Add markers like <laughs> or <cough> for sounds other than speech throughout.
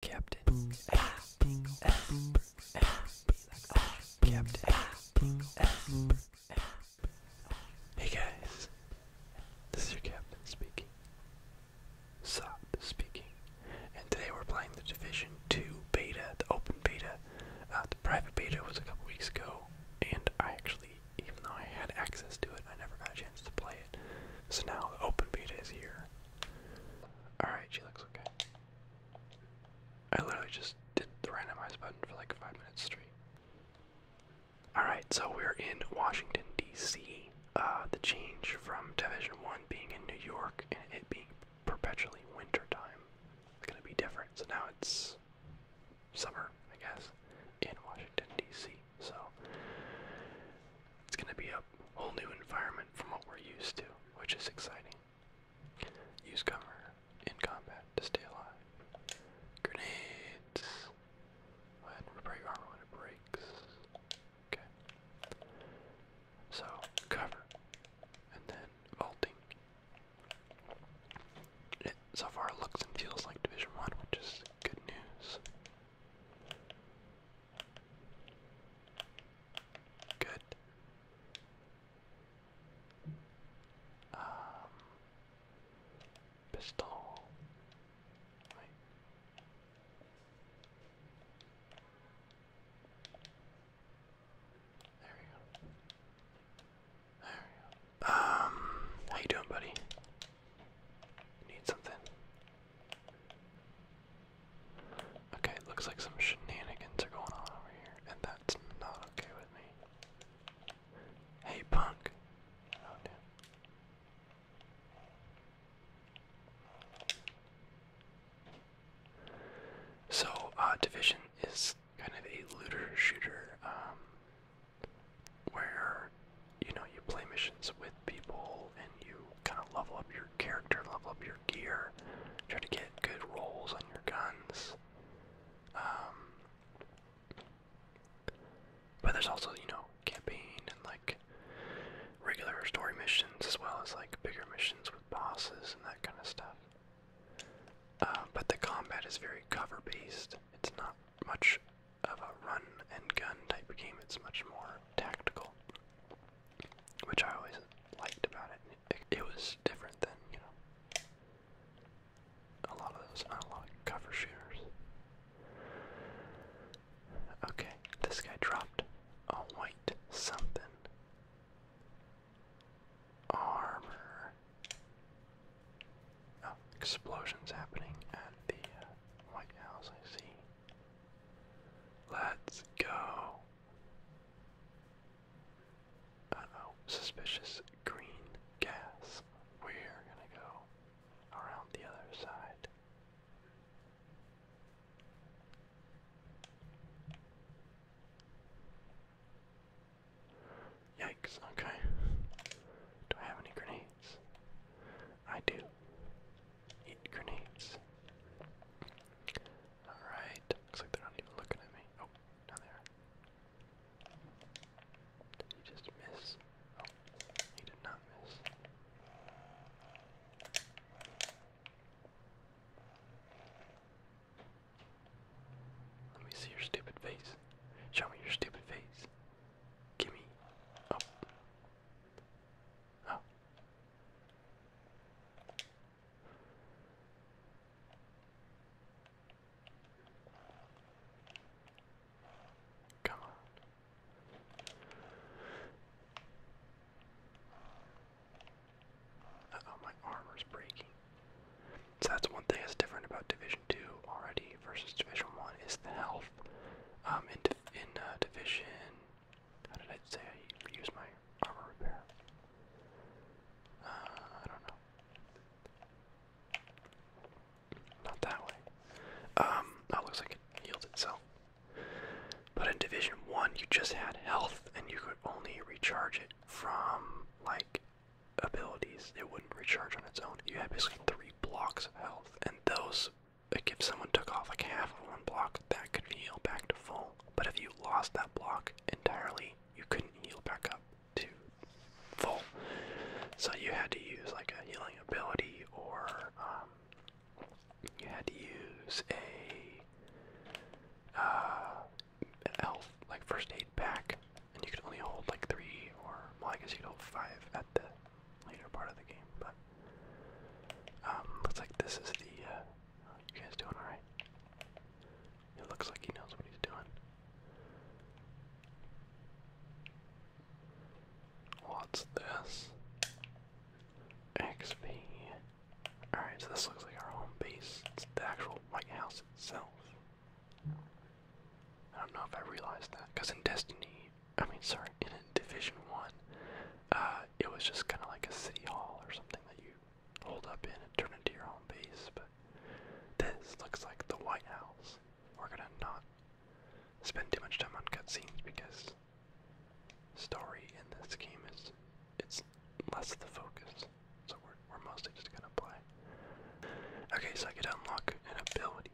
Captain Hey guys, this is your captain speaking. Sop speaking, and today we're playing the Division Two beta, the open beta. Uh, the private beta was a couple weeks ago, and I actually, even though I had access to it, I never got a chance to play it. So now the open beta is here. Alright, she looks okay. I literally just did the randomize button for like five minutes straight. Alright, so we're in Washington, D.C. Uh, the change from Division 1 being in New York and it being perpetually wintertime it's going to be different. So now it's summer, I guess, in Washington, D.C. So it's going to be a whole new environment from what we're used to, which is exciting. Use cover in combat to stay alive. Grenades. Go ahead and repair your armor when it breaks. Okay. So, cover. And then vaulting. so far looks and feels like Division 1, which is good news. Good. Um, pistol. There we go. There we go. Um, how you doing, buddy? Need something? Okay, looks like some shenanigans are going on over here, and that's not okay with me. Hey, punk! So, uh, Division is kind of a looter shooter, um, where you know you play missions with people and you kind of level up your character, level up your gear, try to get good rolls on your guns. Um, but there's also you know campaign and like regular story missions as well as like bigger missions with bosses and that kind of stuff. Uh, but the combat is very cover based. It's not much of a run and gun type game. It's much more tactical, which I always liked about it. It, was different than you know a lot of those, not a lot of cover shooters. Okay, this guy dropped a white something. Armor. Oh, explosions happening at the uh, White House, I see. Let's go. Uh oh, suspicious green gas. We're gonna go around the other side. Yikes, okay. Do I have any grenades? I do. Eat grenades. Alright, looks like they're not even looking at me. Oh, now they are. just miss? Oh, he did not miss. Let me see your stupid face. Show me your stupid face. Gimme. Oh, Come on. oh, my armor's breaking. So that's one thing that's different about Division Two already versus Division One is the health. Um, in uh, division. How did I say I use my armor repair? Uh, I don't know. Not that way. Um, that looks like it healed itself. But in Division 1, you just had health and you could only recharge it from, like, abilities. It wouldn't recharge on its own. You had basically three blocks of health, and those if someone took off like half of one block, that could heal back to full. But if you lost that block entirely, you couldn't heal back up to full. So you had to use like a healing ability, or um, you had to use a uh, like first aid pack, and you could only hold like three, or well, I guess you could hold five at the later part of the game. But um, looks like this is the. Uh, you guys doing all right? It looks like he knows what he's doing. What's this? XP. Alright, so this looks like our home base. It's the actual White House itself. I don't know if I realized that, because in Destiny, I mean, sorry, in Division One, uh, it was just kind of like a city hall or something that you hold up in and turn into your home base. But this looks like the White House. We're gonna not spend too much time on cutscenes because story in this game is it's less the focus. So we're we're mostly just gonna play. Okay, so I could unlock an ability.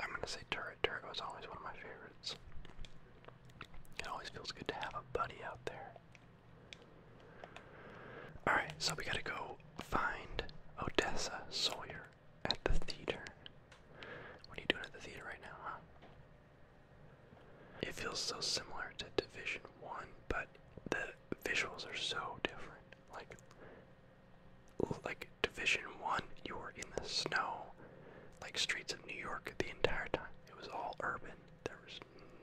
I'm gonna say turret. Turret was always one of my favorites. It always feels good to have a buddy out there. Alright, so we gotta go find Odessa Sawyer at the theater. What are you doing at the theater right now, It feels so similar to Division 1, but the visuals are so different. Like, like Division One, you were in the snow, like streets of New York the entire time. It was all urban. There was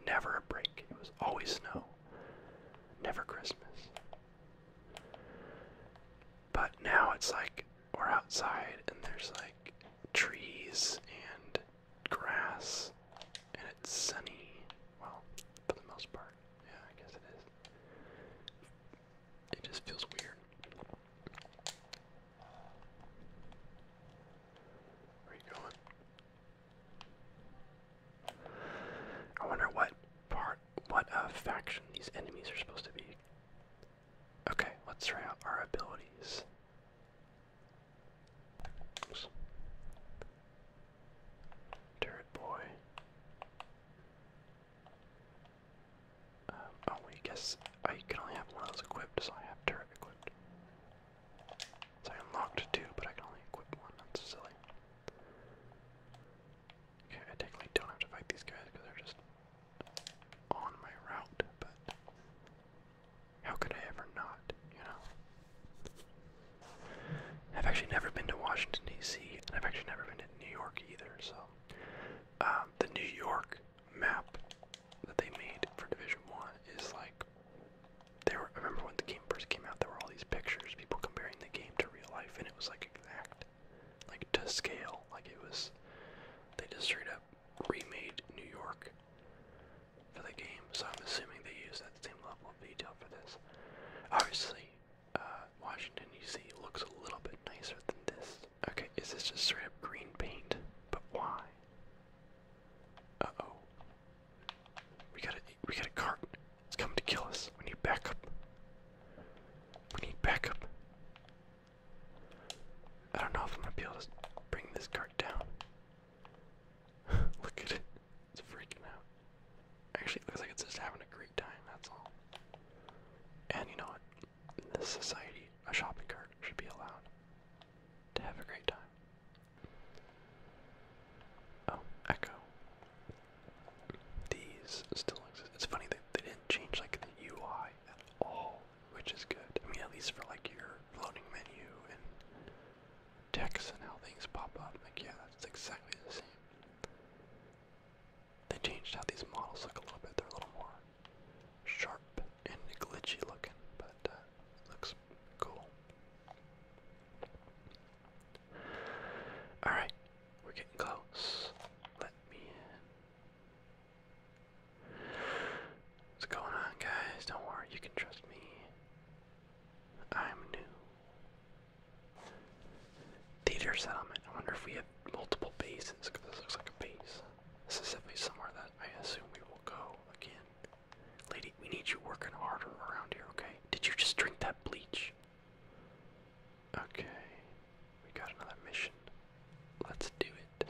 never a break. It was always snow. Never Christmas. But now it's like we're outside and there's like trees and grass and it's sunny. Well, for the most part. Yeah, I guess it is. It just feels weird. Where you going? I wonder what part, what uh, faction these enemies are supposed to be. Okay, let's try out our abilities. Turret boy. Um, oh, we guess I can only have one of those equipped, so I have turret equipped. So I unlocked two, but I can only equip one. That's silly. Okay, I technically don't have to fight these guys because they're just on my route, but how could I ever not, you know? I've actually never been to Washington D.C. and I've actually never been to New York either. So um, the New York map that they made for Division One is like they Were, I remember when the game first came out, there were all these pictures, people comparing the game to real life, and it was like exact, like to scale. Like it was, they just straight up remade New York for the game, so I'm assuming they use that same level of detail for this. Obviously, uh, Washington, you see, looks a little bit nicer than this. Okay, is this just straight up green paint? But why? Uh oh. We got a we got a cart. It's coming to kill us. We need backup. We need backup. I don't know if I'm gonna be able to bring this cart down. <laughs> Look at it. It's freaking out. Actually, looks like it's just having a great time, that's all. And you know what? In this society, a shopping cart should be allowed to have a great time. Oh, Echo. These still exist. It's funny that they didn't change like the UI at all, which is good. I mean, at least for like your loading menu and text and how things pop up. yeah, that's exactly the same. They changed how these models look a little bit. They're a little more sharp and glitchy looking, but uh, looks cool. Alright, we're getting close. Let me in. What's going on, guys? Don't worry, you can trust me. I'm new. Theater settlement. I wonder if we have multiple bases, because this looks like a base. This somewhere that I assume we will go again. Lady, we need you working harder around here, okay? Did you just drink that bleach? Okay. We got another mission. Let's do it.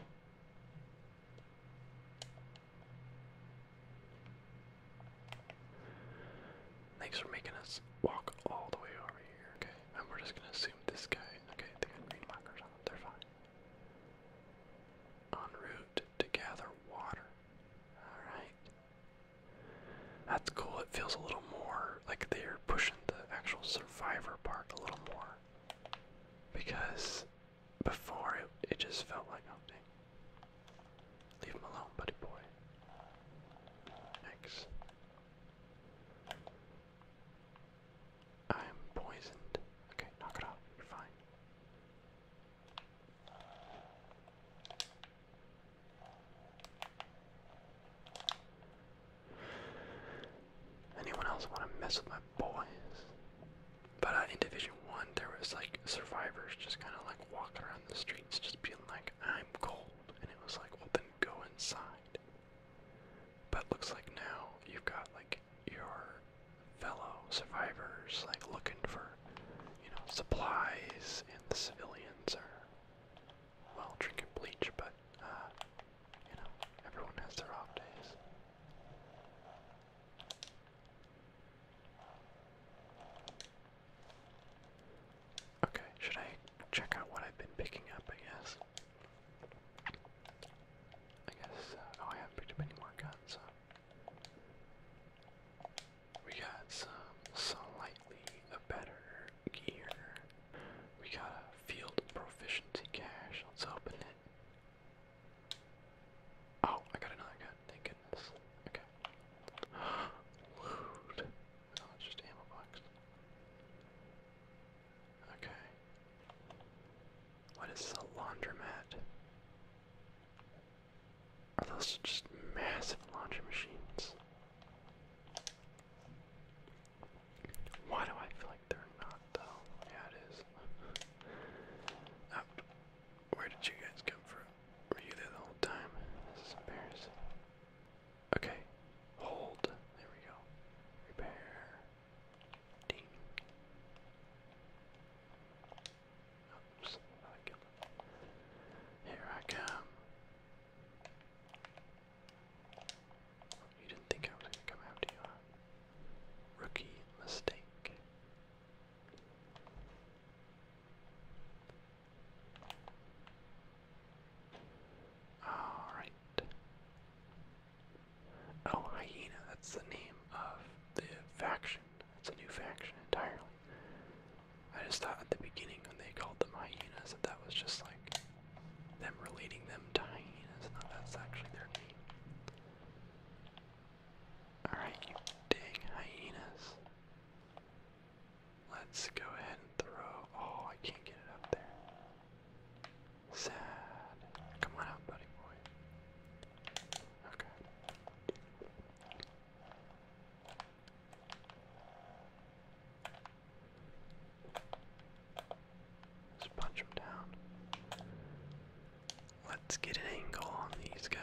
Thanks for making us walk all the way over here. Okay, and we're just gonna assume this guy. Okay, they got green markers on them. They're fine. On route to gather water. All right. That's cool. It feels a little more like they're pushing the actual survivor part a little more because before it, it just felt like nothing. Leave him alone, buddy boy. X. I'm poisoned. Okay, knock it off. You're fine. Anyone else want to mess with my boys? But uh, in Division One, there was like survivors just kind of like walking around the streets, just being like, "I'm cold," and it was like, "Well, then go inside." But looks like now you've got like your fellow survivors like looking for, you know, supplies, and the civilians are well drinking bleach, but uh, you know, everyone has their off days. Okay, should I check out what I've been picking up, I guess? I guess, uh, oh, I haven't picked up any more guns, We got some slightly better gear. We got a field proficiency cache, let's open it. Oh, I got another gun. Thank goodness. Okay. No, oh, it's just ammo box. Okay. What is a laundromat? Are those just massive laundry machines? Why do I feel like they're not though? Yeah, it is. <laughs> Where did you guys come from? Were you there the whole time? This is embarrassing. Okay, hold. There we go. Repair. Ding. Oops, Here I come. You didn't think I was gonna come after you, huh? Rookie mistake. Alright. Oh, Hyena, that's the name of the faction. It's a new faction entirely. I just thought at the beginning when they called them hyenas that that was just like them relating them to hyenas. No, that's actually their name. Alright, you dang hyenas. Let's go ahead and throw. Oh, I can't get it up there. Sad. Come on out, buddy boy. Okay. Let's punch him down. Let's get an angle on these guys.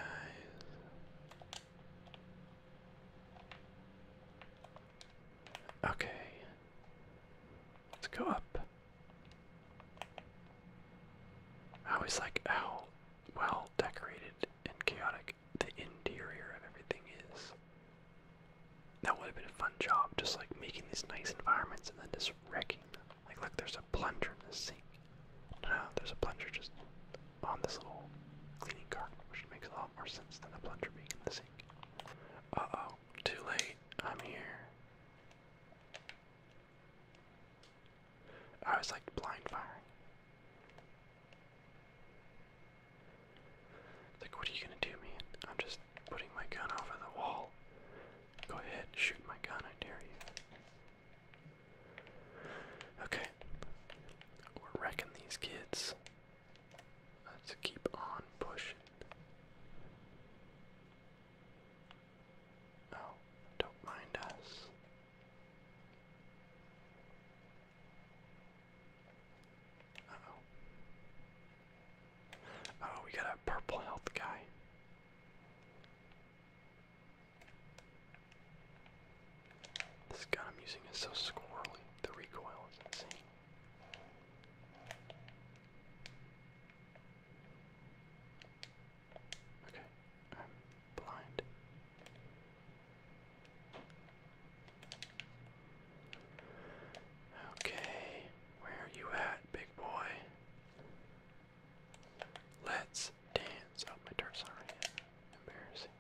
Okay. Let's go up. I like how well decorated and chaotic the interior of everything is. That would have been a fun job, just like making these nice environments and then just wrecking them. Like, look, there's a plunger in this sink. No, there's a plunger just on this little cleaning cart, which makes a lot more sense than a plunger being in the sink. Uh oh, too late. I'm here. I was like blind firing. Like, what are you gonna do, man? I'm just putting my gun over the wall. Go ahead, shoot my gun, I dare you. Okay. We're wrecking these kids. Let's keep on pushing. Oh, don't mind us. oh. Oh, we got a purple health guy. This gun I'm using is so squirrely, the recoil is insane. Okay, blind. Okay, where are you at, big boy? Let's dance. Oh, my turf's already Embarrassing.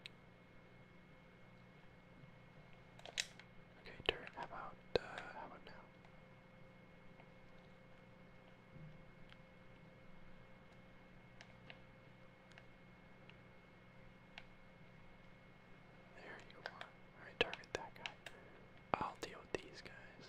Okay, turf. How about, uh, how about now? There you are. Alright, target that guy. I'll deal with these guys.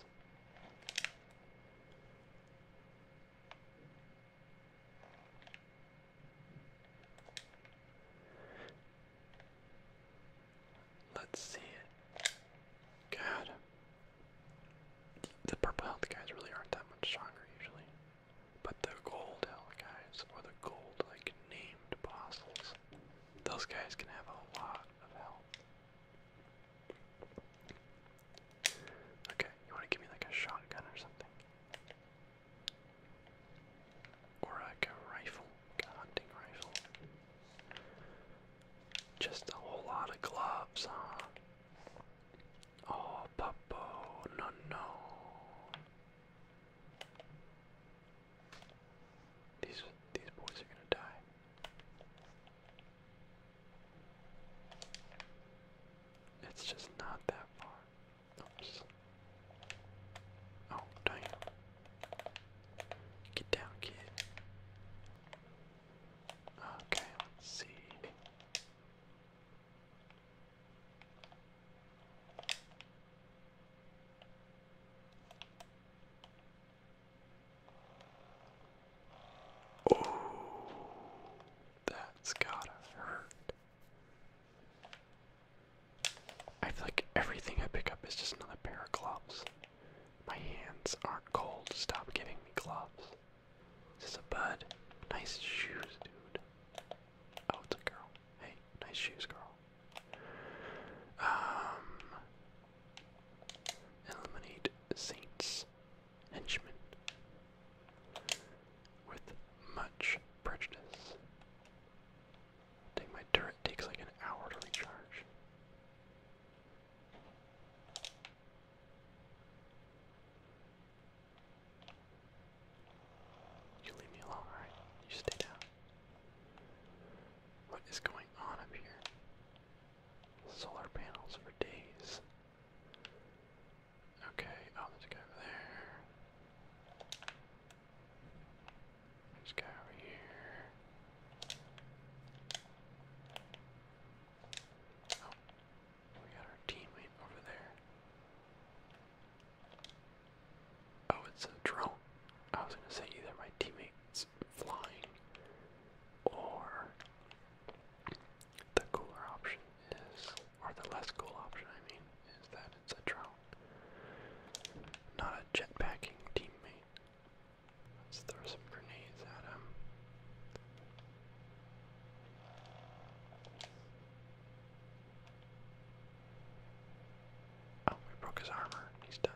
Let's see it. God. The purple health guys really aren't that much stronger usually. But the gold health guys, or the gold like named apostles, those guys can have a lot of health. Okay, you want to give me like a shotgun or something? Or like a rifle, a hunting rifle. Just a whole lot of gloves, huh? Oh, Puppo, no, no. These these boys are gonna die. It's just not that far. Oops. Oh, dang. Get down, kid. Okay, see. Oh, that's gotta hurt. I feel like everything I pick up is just another pair of gloves. My hands aren't cold. Stop giving me gloves. Is a bud? Nice shoes, dude. Oh, it's a girl. Hey, nice shoes, girl. Um, eliminate Saints henchmen with much prejudice. Take my turret takes like an hour to You leave me alone, alright? You stay down. What is going on up here? Solar panels for days. Okay, oh, there's guy over there. There's guy over here. Oh, we got our teammate over there. Oh, it's a drone. I was gonna say either my teammates flying, or the cooler option is, or the less cool option, I mean, is that it's a drone, not a jetpacking teammate. Let's throw some grenades at him. Oh, we broke his armor. He's done.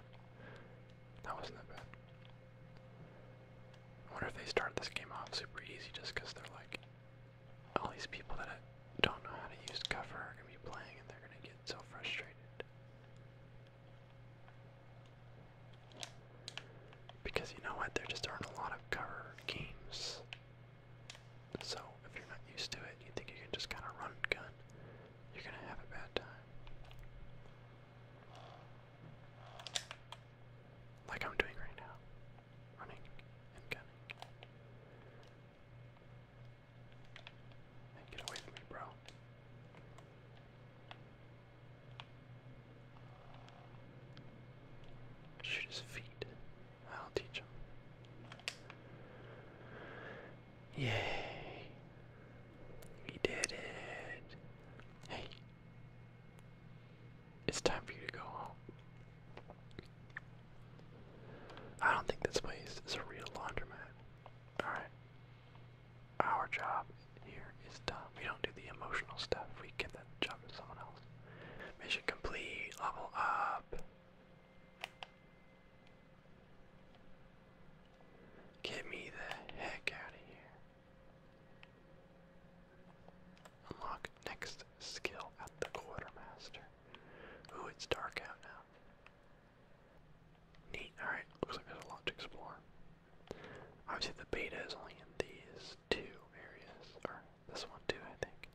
That wasn't that bad. I wonder if they start this game off super easy just because they're like, all these people that don't know how to use cover are going to be playing and they're going to get so frustrated. Because you know what? There just aren't a lot of cover games. So if you're not used to it, you think you can just kind of run and gun you're gonna have a bad time. Like I'm doing right now. Running and get away from me, bro. Shoot his feet. I'll teach him. Yay. We did it. Hey. It's time for you to go home. I don't think this place is a real laundromat. Alright. Our job here is done. We don't do the emotional stuff. We give that job to someone else. Mission complete. Level up. Get me the heck out of here. Unlock next skill at the quartermaster. Ooh, it's dark out now. Neat. Alright, looks like there's a lot to Obviously, the beta is only in these two areas, or this one too, I think.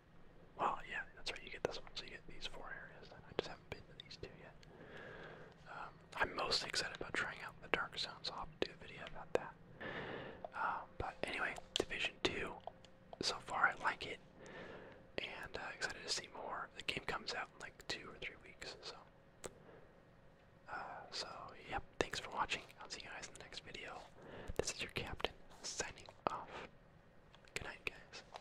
Well, yeah, that's right, you get this one, so you get these four areas, I just have been to these two yet. Um, I'm mostly excited about trying out the Dark zones. I'll do a video about that. Um, but anyway, Division 2, so far I like it, and uh, excited to see more. The game comes out in like two or three weeks, so. Uh, so, yep, thanks for watching. I'll see you guys in the next video. This is your captain signing off. Good night, guys.